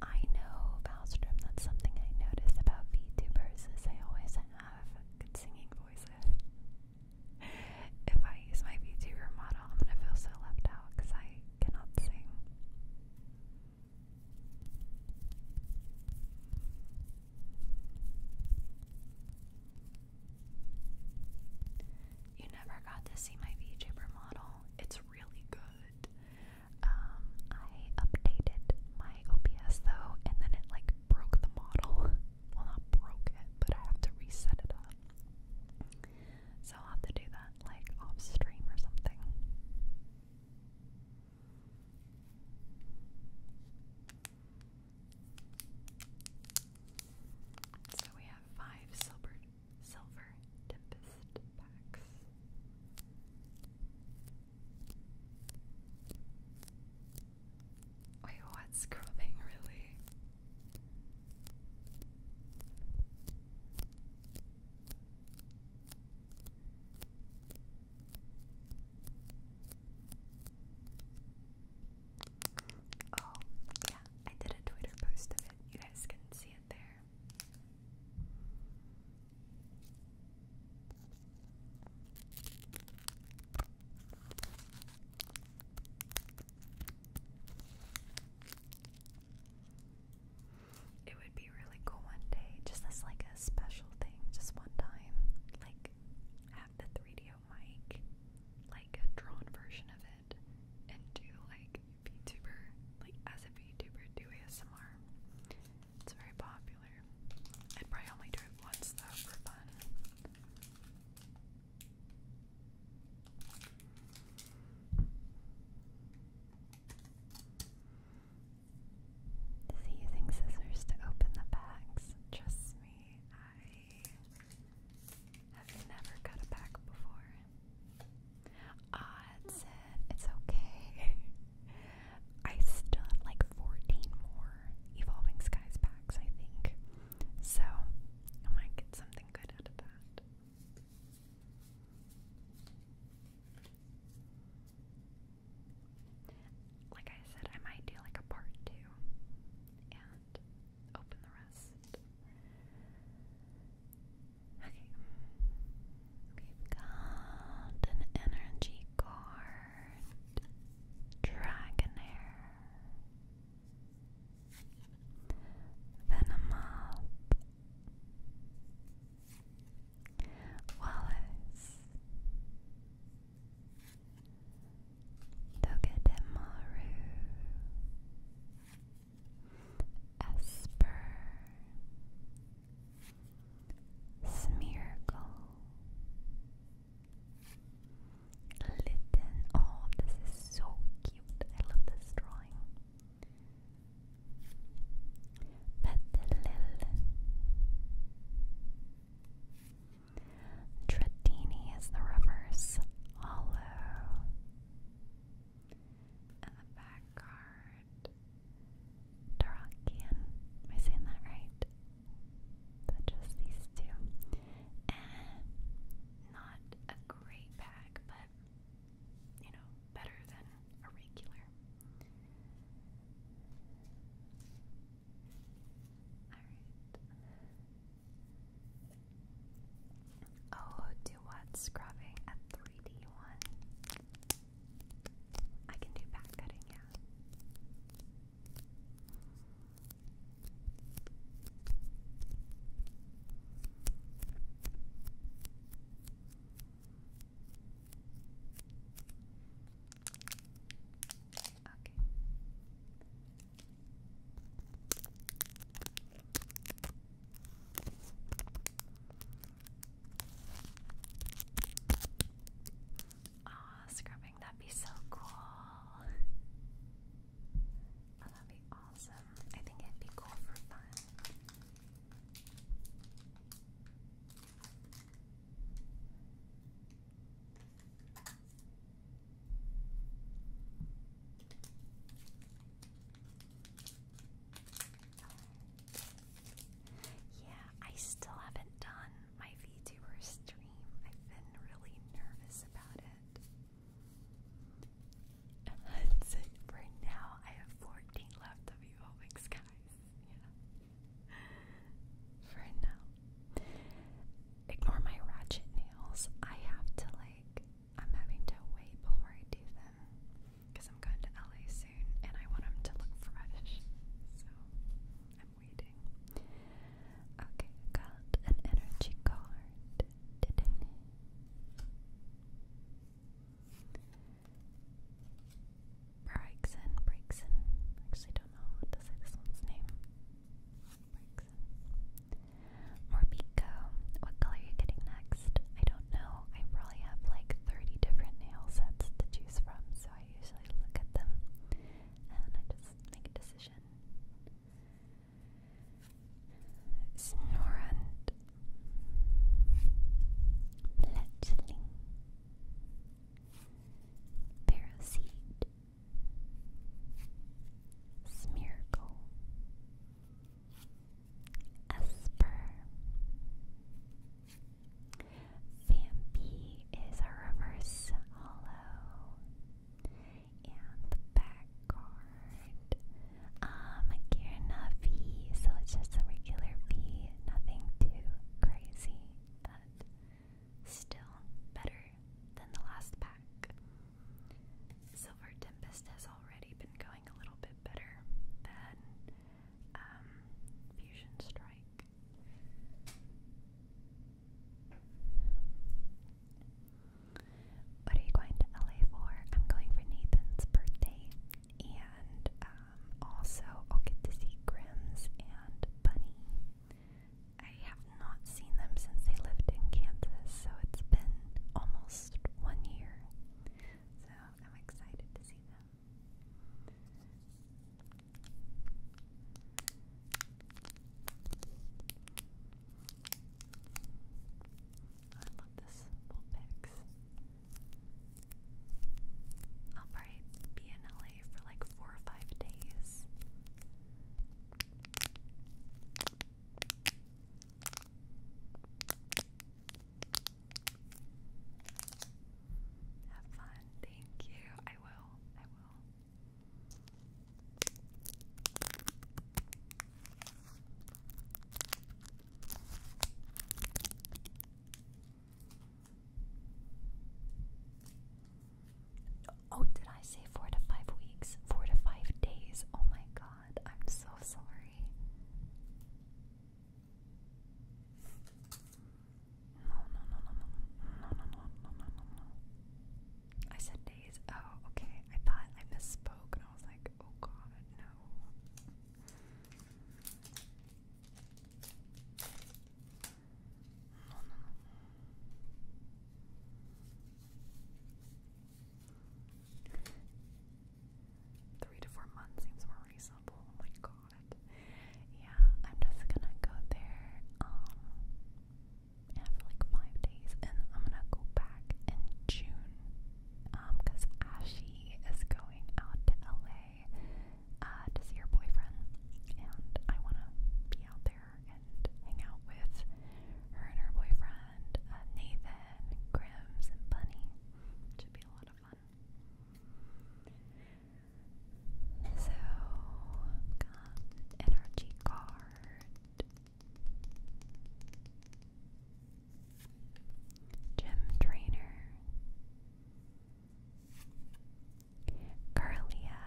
I know, Balstrom, that's something I notice about VTubers is they always have good singing voices. if I use my VTuber model, I'm gonna feel so left out because I cannot sing. You never got to see my VTuber model. It's really good. Um, I updated my OBS though, and then it like broke the model. Well, not broke it, but I have to reset it up. So I'll have to do that like off stream or something. So we have five silver silver tempest packs. Wait, what's scrubbing really? Oh, yeah, I did a Twitter post of it. You guys can see it there. It would be really cool one day, just as like a special thing, just one time. Like have the 3DO mic, like a drawn version of it, and do like VTuber, like as a VTuber do ASMR. It's very popular. I'd probably only do it once though for fun. Is he using scissors to open the packs? Trust me, I have never cut a pack before. Ah, that's It's okay. I still have like 14 more Evolving Skies packs, I think. So I might get something good out of that. Like I said, I might do like a part two and open the rest. Okay. We've got an energy card, Dragonair, Venomoth Wallace Togedemaru Esper Smeargle Litten. Oh, this is so cute. I love this drawing. Petalil. Tradini is the reverse hollow. And the back card. Darakian. Am I saying that right? So just these two. And not a great bag, but you know, better than a regular. Oh, do what? Scrubbing at 3D one. I can do back cutting, yeah. Ah, scrubbing, that'd be so cool. Oh, that'd be awesome. I think it'd be cool for fun. Yeah, I still haven't done my VTuber stream. I've been really nervous about it for now. I have 14 left of guys. For now. Ignore my ratchet nails. I have to, like, I'm having to wait before I do them. Because I'm going to LA soon and I want them to look fresh. So I'm waiting. Okay, got an energy card. Didn't Brixen, Brixen. Actually, don't know what to this one's name. Morbico. What color are you getting next? I don't know. I probably have like 30 different nail sets to choose from, so I usually look at them and I just make a decision. Snorrand Fletchling Paraseed Smeargle Esper Vampy is a reverse hollow and back card. Um, Kirna V, so it's just a regular V, nothing too crazy, but still better than the last pack. Silver Tempest has already been going a little bit better than um, Fusion Strike. What are you going to LA for? I'm going for Nathan's birthday, and um, also I'll get to see Grimm's and Bunny. I have not seen them since they lived in Kansas, so it's been almost one year. So I'm excited to see them. I love the I'll be in LA for like four or five days. Have fun. Thank you. I will. I will. Oh, did I say four to five weeks? Four to five days. Oh my god, I'm so sorry. No, no, no, no, no, no, no, no, no, no, no, I said days. Oh, okay. I thought I misspoke and I was like, oh god, no. Three to four months seems more reasonable. Oh my god. Yeah, I'm just gonna go there. Um, for like five days, and I'm gonna go back in June um, because Ashy is going out to LA uh, to see her boyfriend, and I wanna be out there and hang out with her and her boyfriend, uh, Nathan, and Grims, and Bunny. should be a lot of fun. So, got energy card, Gym Trainer Carlia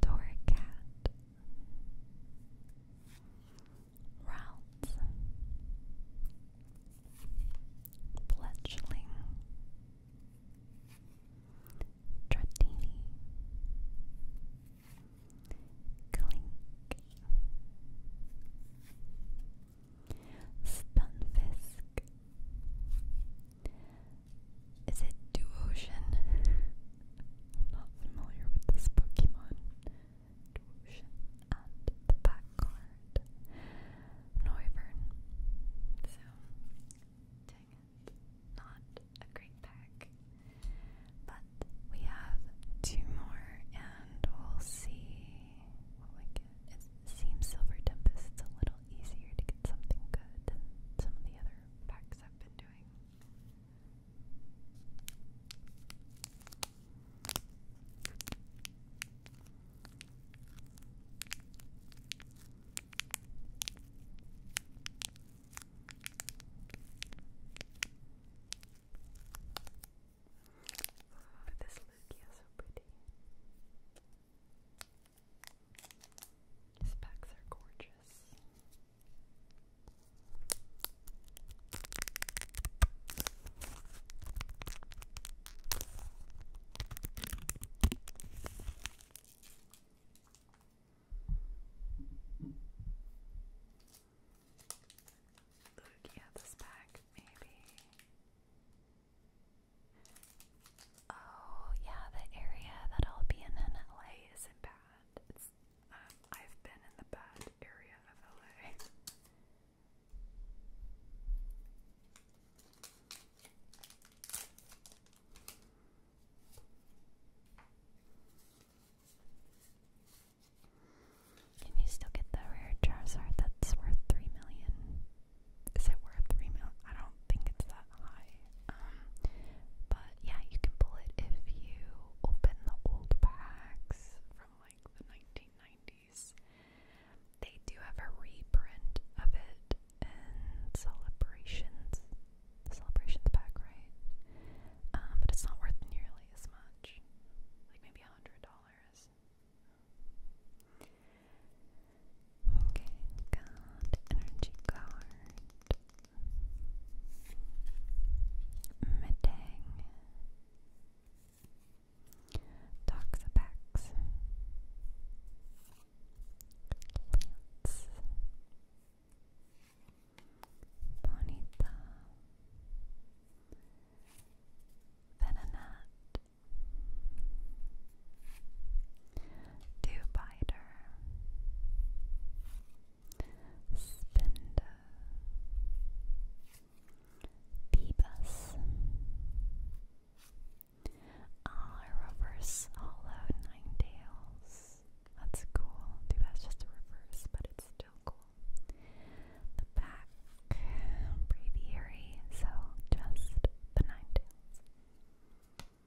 Doorcat Routes Fletchling Trattini Clink Stunfisk Is it Duocean? not familiar with this Pokemon. Duocean and the back card. Noivern. So dang it not a great pack. But we have two more, and we'll see what It seems Silver Tempest is a little easier to get something good than some of the other packs I've been doing. Oh, this Lugia is so pretty. His packs are gorgeous. Lugia this pack, maybe. Oh yeah, the area that I'll be in in LA isn't bad. Um, I've been in the bad area of LA. Can you still get the rare Charizard that's worth three million? Is it worth three million? I don't think it's that high. Um, but yeah, you can pull it if you open the old packs from like the 1990s. They do have a reprint of it and celebrations. celebration's back, right? Um, but it's not worth nearly as much. Like maybe a hundred dollars. Okay, got energy card. Medang. Toxapex. Lance. Bonita Venonat dew Spinda Beebus Ah, Reverse Hollow Nine Tails reverse. That's cool. Too bad it's just a reverse, but it's still cool. The back breviary, so just the nine tails. Let's see.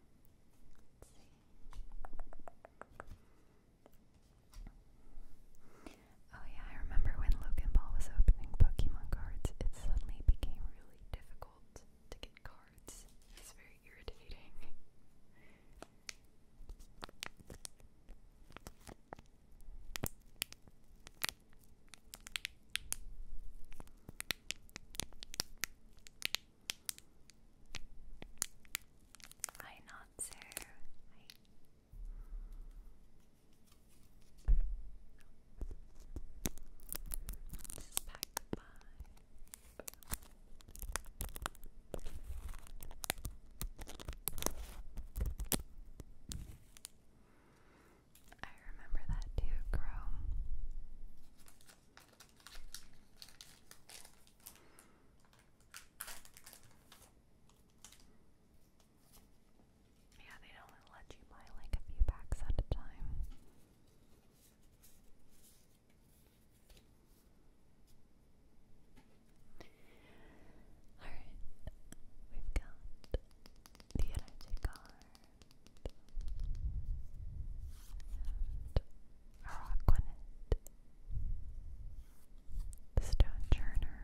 Oh yeah, I remember when Logan Ball was opening Pokemon cards, it suddenly became really difficult to get cards. It's very irritating. Hi, not sir. Hi. I remember that too, Crow. Yeah, they don't let you buy like a few packs at a time. Alright, we've got the energy card and the stone churner,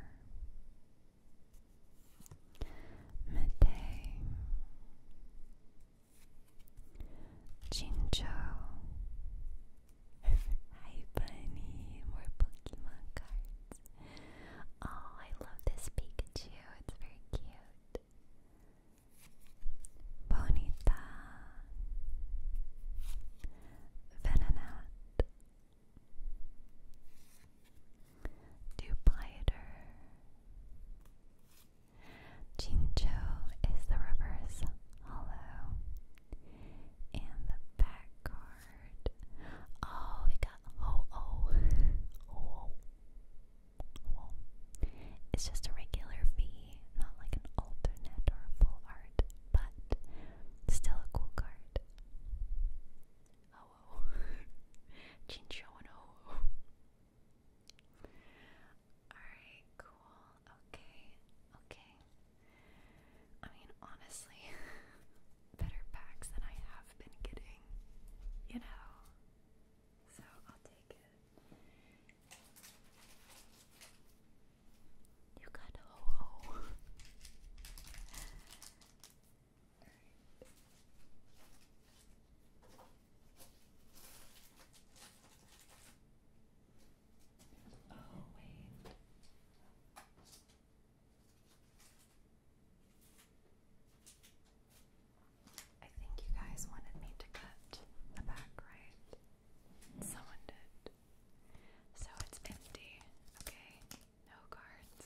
midday, Chinchou. Hi bunny, more Pokemon cards. Oh, I love this Pikachu. It's very cute. Bonita. Venonat. Dupliator. Jincho is the reverse hollow. And the back card. Oh, we got Ho Oh. Oh. Oh. It's just a regular V, not like an alternate or a full art, but still a cool card. Oh, oh. Jincho and Oh. oh. Alright, cool. Okay, okay. I mean, honestly, better packs than I have been getting, you know? So I'll take it. You got ho ho. Oh, I think you guys wanted me to cut the back, right? Someone did. So it's empty. Okay, no cards.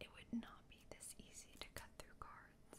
It would not be this easy to cut through cards.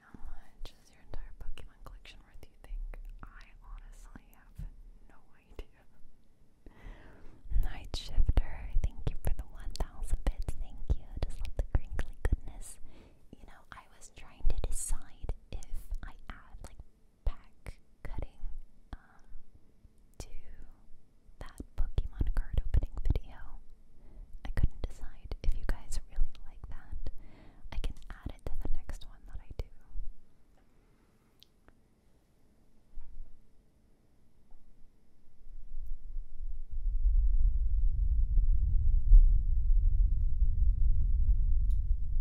How much is your entire Pokemon collection worth, you think? I honestly have no idea. Night Shifter, thank you for the 1000 bits, thank you. Just love the crinkly goodness. You know, I was trying to decide if I add like pack cutting um, to that Pokemon card opening video. I couldn't decide if you guys really like that. I can add it to the next one that I do.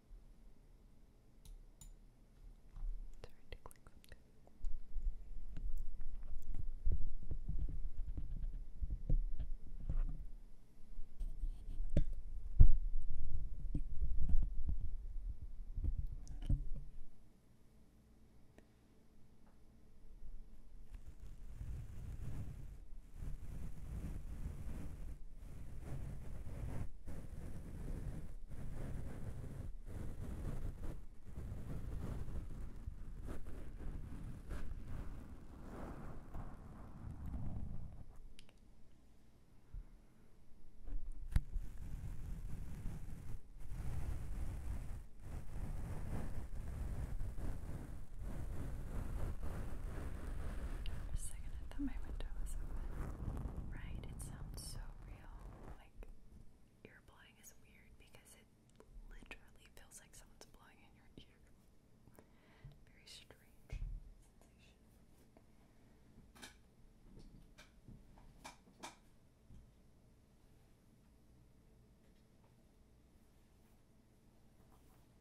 Sorry to click something. All second I my window was open. Right? It sounds so real. Like, ear blowing is weird because it literally feels like someone's blowing in your ear. Very strange sensation.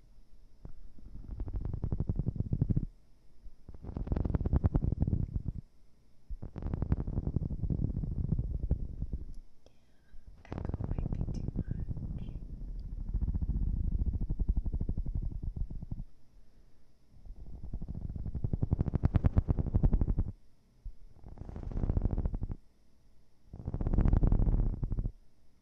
Echo might be too much. Okay.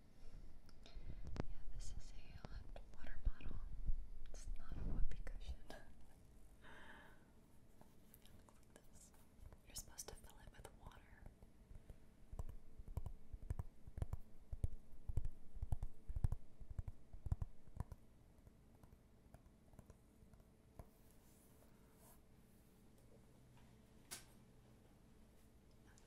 Yeah, this is a water bottle. It's not a whoopee cushion. You're supposed to fill it with water.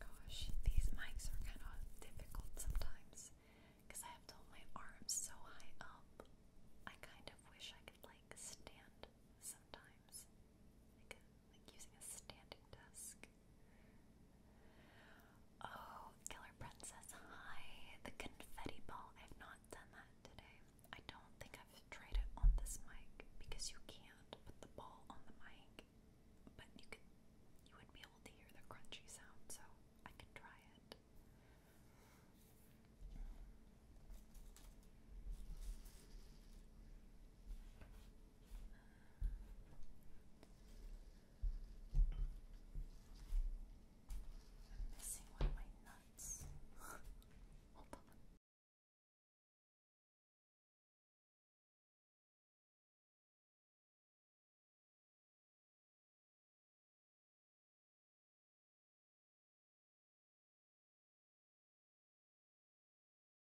Gosh, these mics are kind of difficult sometimes because I have to hold my arms so high up. I kind of wish I could like stand sometimes, like, like using a standing desk. Oh, Killer Princess, hi. The confetti ball. I've not done that today. I don't think I've tried it on this mic because you can't put the ball on the mic, but you could you would be able to hear the crunchy sound, so I can try it. I'm missing one of my nuts.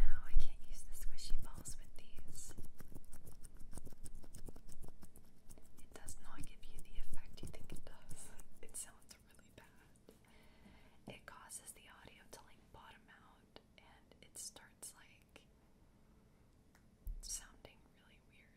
No, I can't use the squishy balls with these. It does not give you the effect you think it does. It sounds really bad. It causes the audio to like bottom out and it starts like sounding really weird.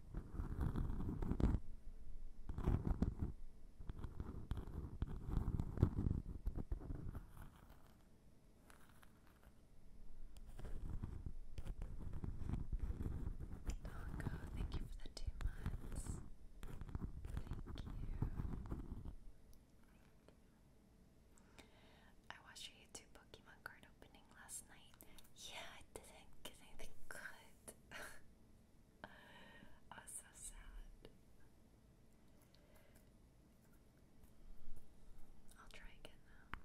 Dongo, thank you for the two months. Thank you. I watched your YouTube Pokemon card opening last night. Yeah, I didn't get anything good it. I was so sad. I'll try again now. Okay.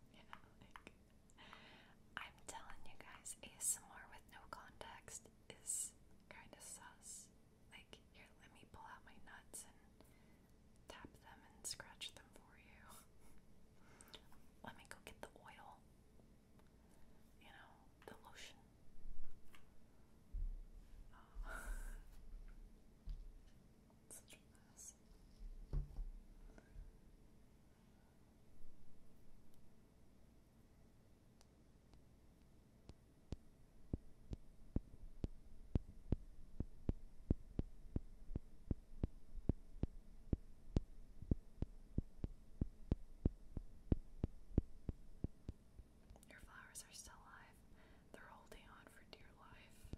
you like I'm telling you guys, ASMR with no context is kind of sus. Like, here, let me pull out my nuts and tap them and scratch them for you. let me go get the oil, you know, the lotion. Oh. Such a mess. Your flowers are still alive. They're holding on for dear life.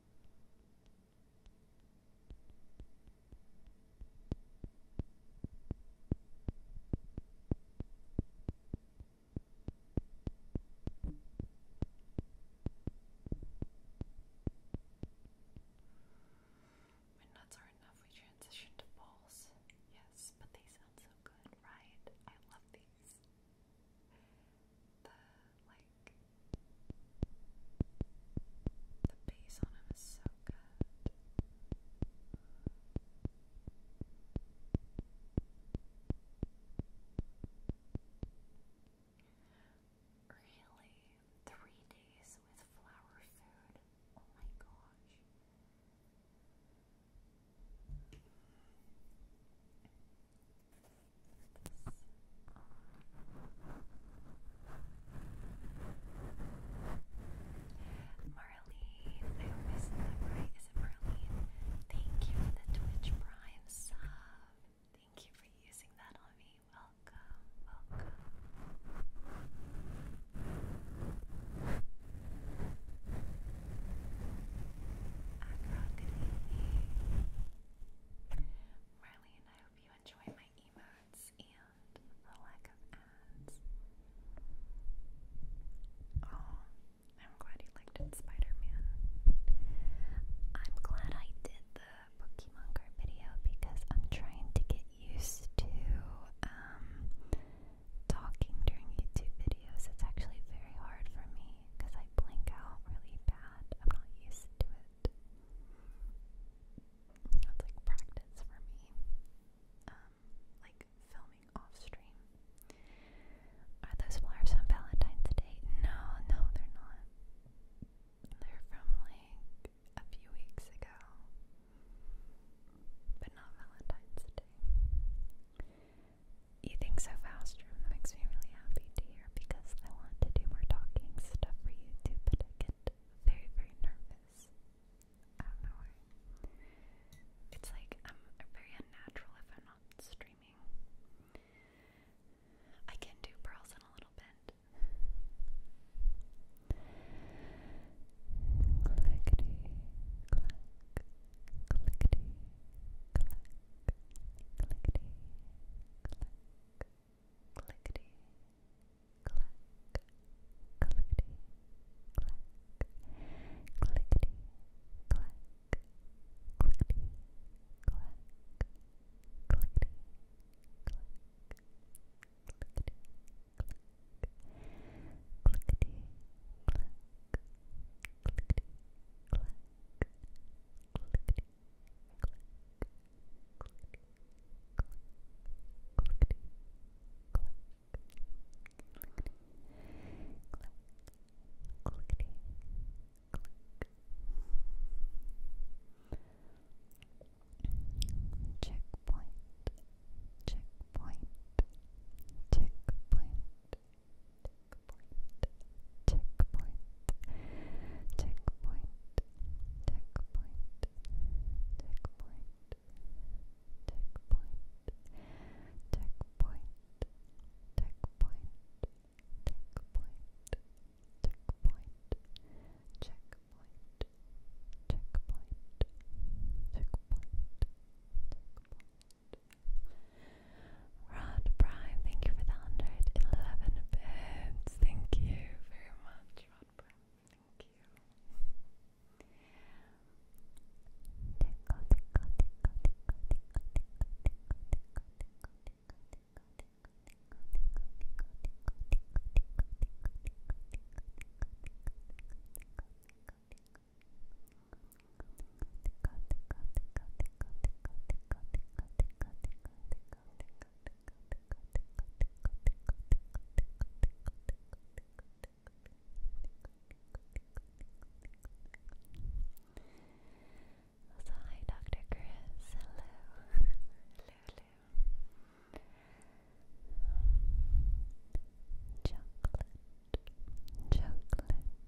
When nuts are enough, we transition to balls. Yes, but they sound so good, right? I love these the like the bass on him is so good. Really? Three days with flower food? Oh my gosh. Marlene, I hope I right. Is it Marlene? Thank you for the Twitch Prime sub. Thank you for using that on me. Welcome, welcome. Acro, good evening. Marlene, I hope you enjoy my emotes and the lack of ads. Oh, I'm glad you liked Spider-Man. I'm glad I did the Pokemon card video because I'm trying to get used to um, talking during YouTube videos. It's actually very hard for me me because I blink out really bad. I'm not used to it. It's like practice for me. Um, like filming off stream. Are those flowers on Valentine's Day? No, no, they're not. They're from like a few weeks ago, but not Valentine's Day. You think so fast, Room. That makes me really happy to hear because I want to do more talking stuff for you too, but I get very, very nervous. I don't know It's like I'm very unnatural if I'm not streaming. I can do pearls in a little bit. Clickety, clack, clickety, clack clickety, click, clickety, click, clickety, click, clickety, click, clickety, click, clickety, click. Clickety, click, clickety, click, clickety, click, checkpoint checkpoint checkpoint checkpoint checkpoint checkpoint checkpoint Rod Prime, thank you for the 111 bits. Thank you very much, Rod Prime. Thank you. So hi Dr. Chris, hello. hello, Chocolate, chocolate,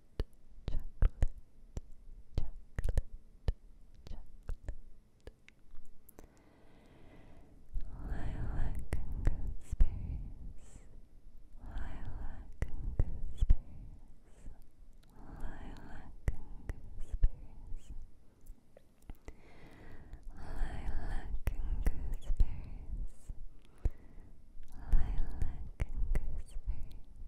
chocolate, chocolate, chocolate. Lilac and gooseberries, lilac and gooseberries, lilac and gooseberries. Lilac and gooseberries, lilac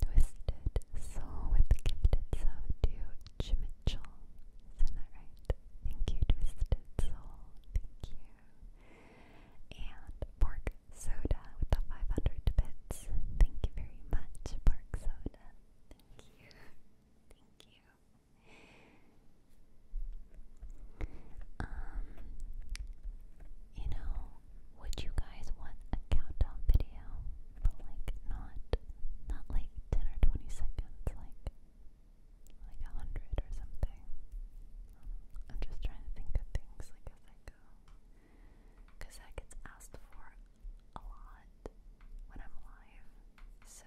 Twisted Soul with the gifted sub to Chimichel. Isn't that right? Thank you, Twisted Soul. Thank you. And Pork Soda with the 500 bits. Thank you very much, Pork Soda. Thank you. Thank you. Um, you know, would you guys want a countdown video? But like not not like 10 or 20 seconds, like like a hundred or something. I'm just trying to think of things like as I go. Cause that gets asked for a lot when I'm live. So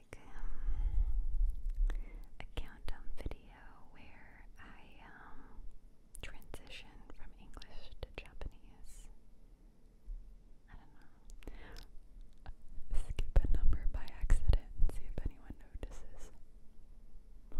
like um, a countdown video where I um, transition from English to Japanese. I don't know. Skip a number by accident see if anyone notices. let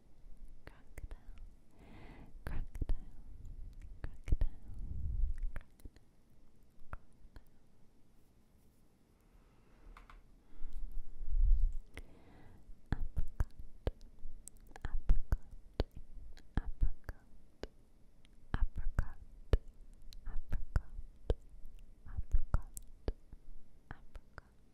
crocodile, crocodile, crocodile, crocodile. Apricot, apricot, apricot, apricot, apricot, apricot, apricot.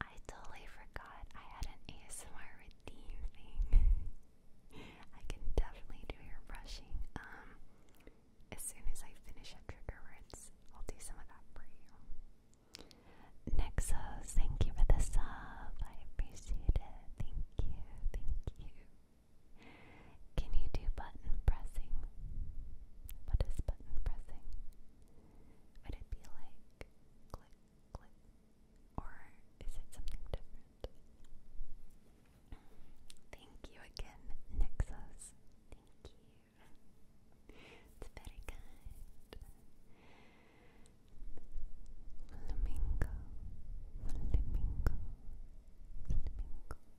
I totally forgot I had an ASMR redeem I can definitely do your brushing. Um, as soon as I finish up trigger words, I'll do some of that for you. Nexos, thank you for the sub. I appreciate it. Thank you, thank you. Can you do button pressing? What is button pressing? Would it be like click, click, or is it something different? Thank you again, Nexus. Thank you. It's very kind. Flamingo, flamingo, flamingo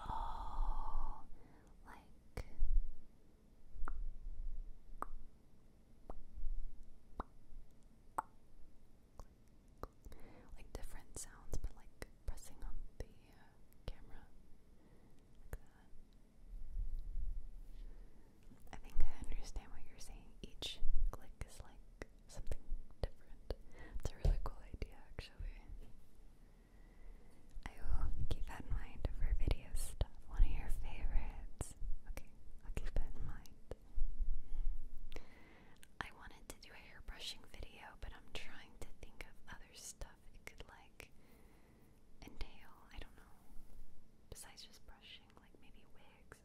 Oh, like like different sounds, but like pressing on the uh, camera I think I understand what you're saying. Each click is like something different. It's a really cool idea, actually. I will keep that in mind for video One of your favorites. Okay, I'll keep that in mind. I wanted to do a hair brushing video, but I'm trying to think of other stuff it could like entail. I don't know. Besides just brushing, like maybe wigs or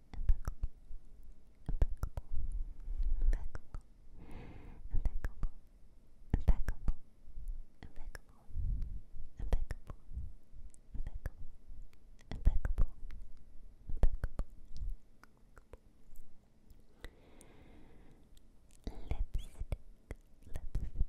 impeccable, impeccable, impeccable, impeccable, impeccable, impeccable, impeccable, impeccable, impeccable, impeccable. Lipstick, lipstick,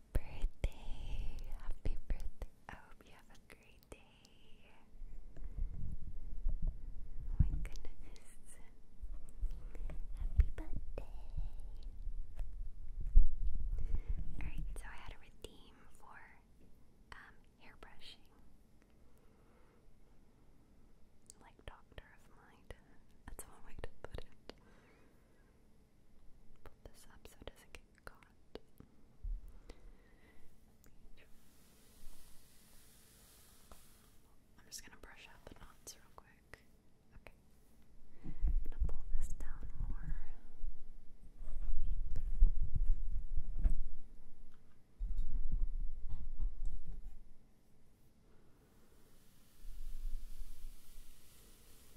Happy birthday! Happy birthday! I hope you have a great day. Oh my goodness. Happy birthday. Alright, so I had a redeem for um hairbrushing. Like doctor of mind. That's one way to put it pull this up so it doesn't get caught. I'm just gonna brush out the knots real quick. Okay. to pull this down more.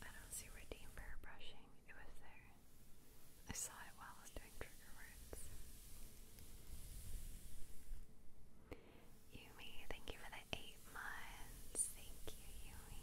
I don't see where brushing. It was there. I saw it while I was doing trigger words. Yumi, thank you for the eight months. Thank you, Yumi.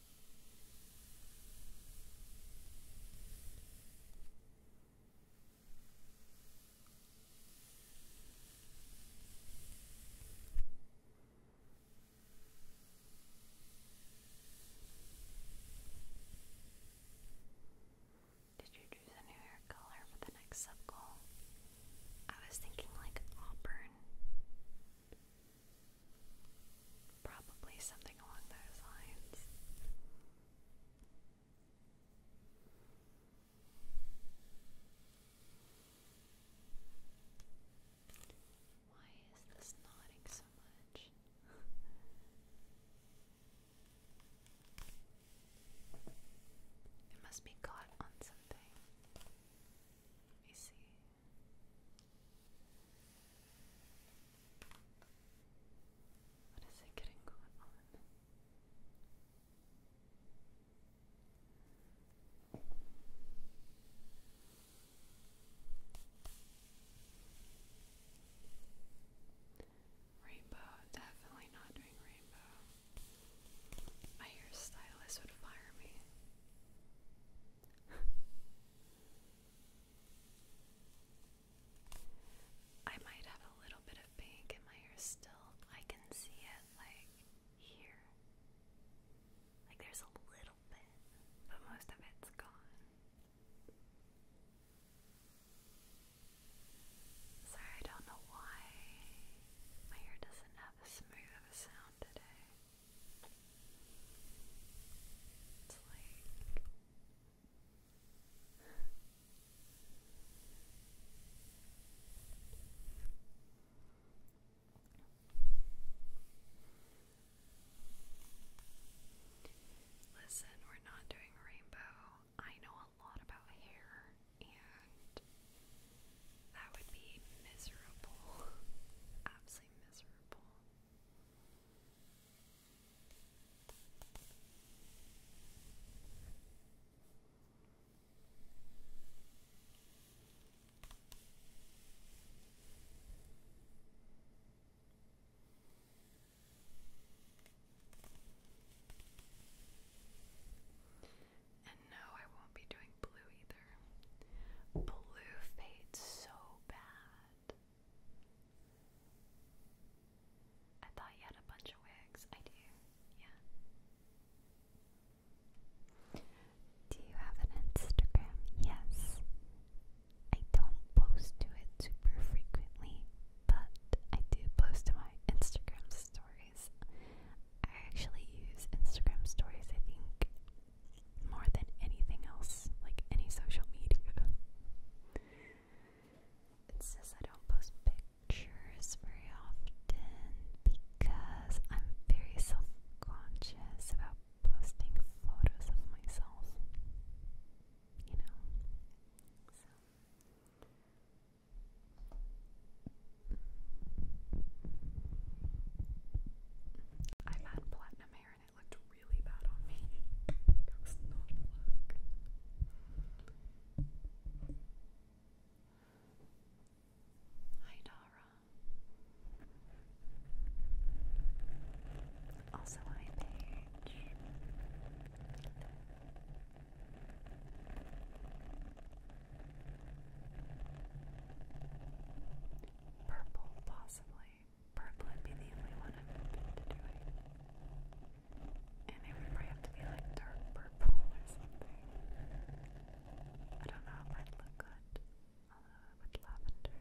Did you choose a new hair color for the next sub goal? I was thinking like auburn. Probably something along those lines. Why is this nodding so much? it must be caught on something. Let me see. What is it getting going on? Rainbow, definitely not doing rainbow. My hairstylist would fire me. I might have a little bit of pink in my hair still. I can see it like here. Like there's a little bit, but most of it's gone. Sorry, I don't know why my hair doesn't have as smooth of a sound today. Listen, we're not doing rainbow. I know a lot about hair, and that would be miserable. Absolutely intensely miserable. And no, I won't be doing blue either. Blue fades so bad. I thought you had a bunch of wigs. I do, yeah. Do you have an Instagram? Yes. I don't post to it super frequently, but I do post to my Instagram stories. I actually use Instagram stories, I think, more than anything else, like any social media. It says I don't post pictures very often because I'm very self conscious about posting photos of myself. You know? So. I've had platinum hair and it looked really bad on me. Hi Dara. Also hi Paige. Purple, possibly. Purple would be the only one I've been to doing. And it would have to be like dark purple or something. I don't know if i look good. with lavender.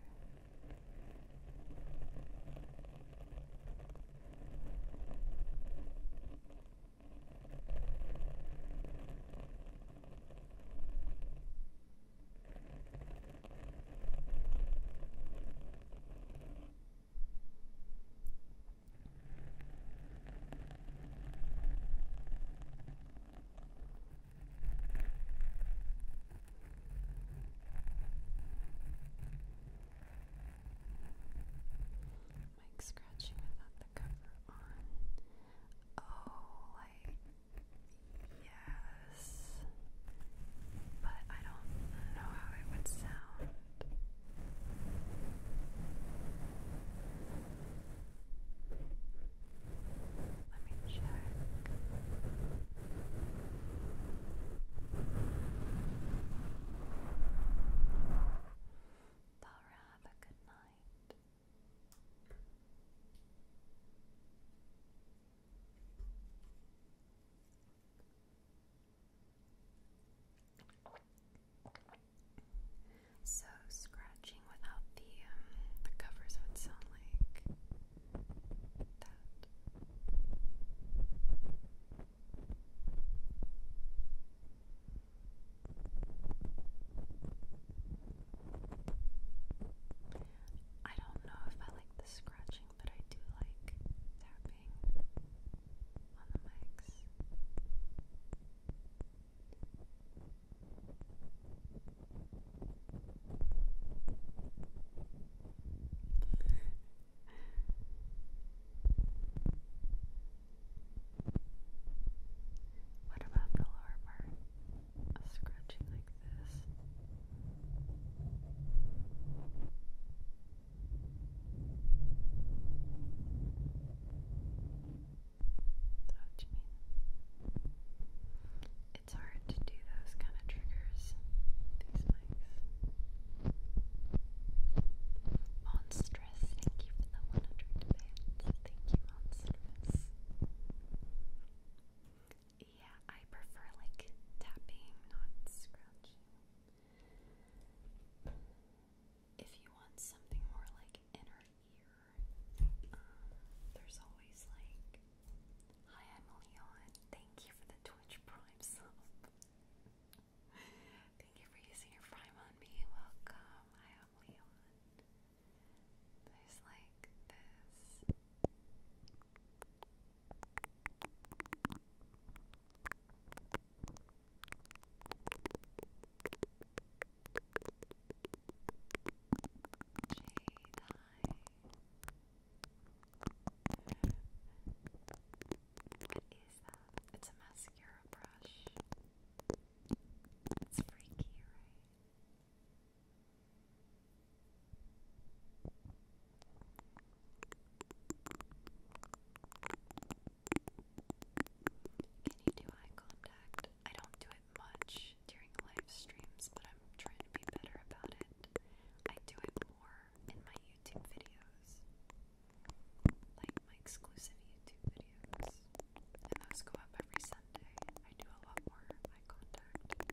Like scratching without the cover on. Oh, like Yes. But I don't know how it would sound. Let me check. Laura, have a good night. So scratching without the um, the covers would sound like that. I don't know if I like the scratching, but I do like tapping on the mics. what about the lower part? a scratching like this. So what It's hard to do those kind of triggers. These mics. Monstrous, thank you for the 100 bits. Thank you, Monstrous. Yeah, I prefer like tapping, not scratching. If you want something more like inner ear, um, there's always like, Hi, I'm Leon. Thank you for the Twitch Prime sub. Thank you for using your Prime on me. Welcome. I'm Leon. There's like this shade What is that? It's a mascara brush. It's freaky, right? Can you do eye contact? I don't do it much during live streams, but I'm trying to be better about it. I do it more in my YouTube videos, like my exclusive YouTube videos and those go up every Sunday. I do a lot more eye contact.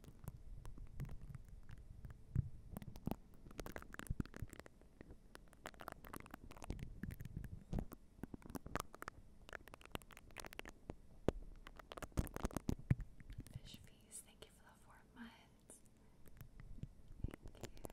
Fish fees, thank you for the four months. Thank you.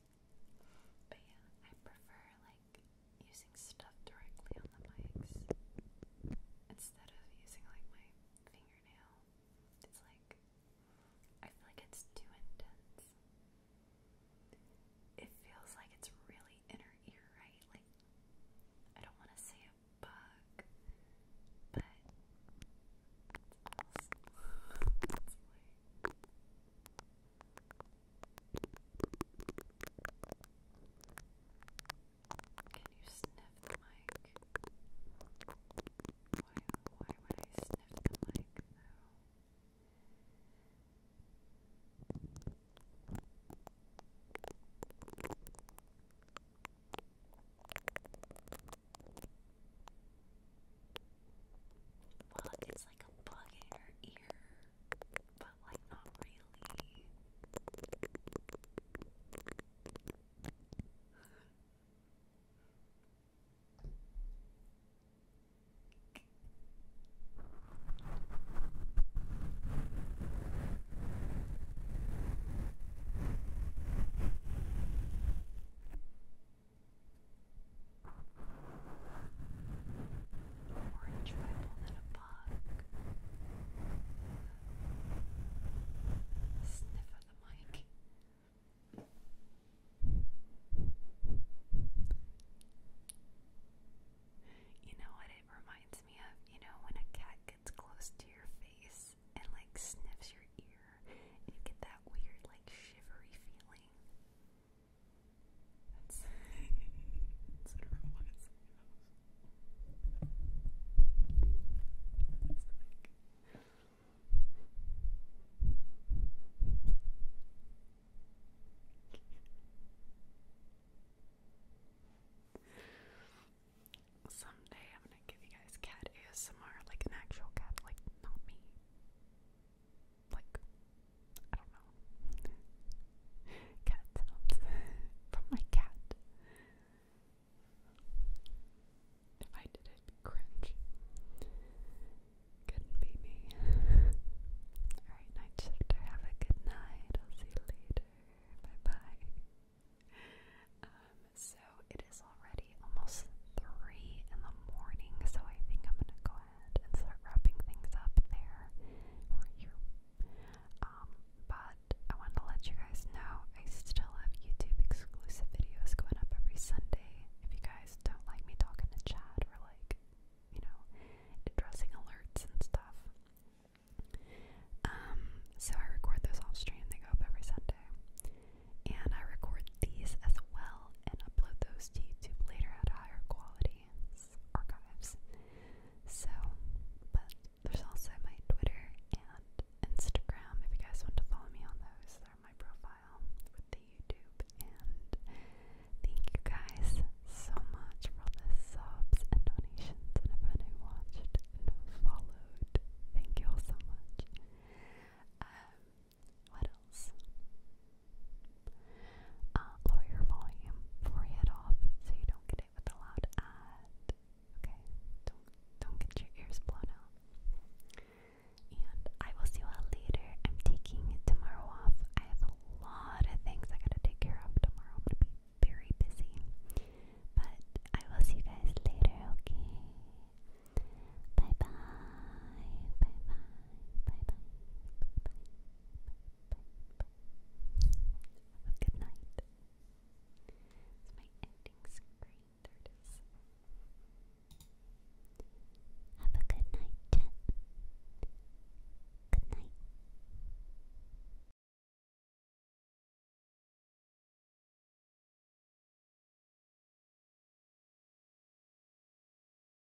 But yeah, I prefer like using stuff directly on the mics instead of using like my fingernail. It's like I feel like it's too intense. It feels like it's really inner ear, right? Like I don't want to say a bug, but can you sniff the mic? Why, why would I sniff the mic though? Well, it's like a bug in your ear but like not really more enjoyable than a bug. Sniff of the mic. You know what it reminds me of? You know when a cat gets close to your face and like sniffs your ear and you get that weird like shivery feeling. That's, that's what I want to say that's like, Someday I'm gonna give you guys cat ASMR, like an actual cat, like not me like I don't know cat from my cat. If I did it, cringe. Couldn't be me. Alright, night shifter, have a good night. I'll see you later. Bye bye. Um, so it is already almost three in the morning, so I think I'm gonna go and start wrapping things up there or here. Um, but I wanted to let you guys know I still have YouTube exclusive videos going up every Sunday. If you guys don't like me talking to chat or like, you know, addressing alerts and stuff. Um, so I record those all stream, they go up every Sunday. And I record these as well and upload those to YouTube later at higher quality archives. So, but there's also my Twitter and Instagram if you guys want to follow me on those. They're my profile with the YouTube. And thank you guys so much for all the subs and donations and everyone who watched and followed. Thank you all so much. Um, what else? Uh, lower your volume before you head off so you don't get it with a loud ad. Okay, don't don't get your ears blown out. And I will see you all later. I'm taking tomorrow off. I have a lot of things I gotta take care of tomorrow. I'm gonna be very busy. But I will see you guys later, okay? Bye bye. Bye bye. Bye bye. Bye bye. Have a good night. It's my ending screen. Have a good night, chat. Good night.